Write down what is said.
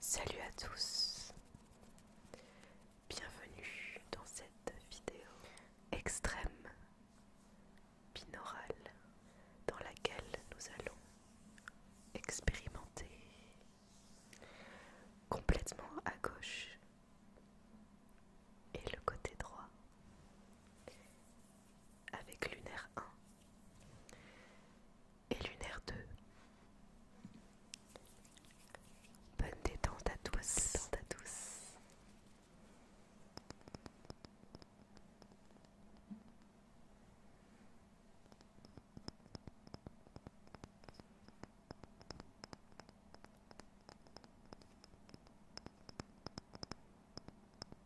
Salut à tous, bienvenue dans cette vidéo extrême, binaurale, dans laquelle nous allons expérimenter complètement à gauche et le côté droit avec lunaire 1 et lunaire 2. Bonne détente à tous, à tous.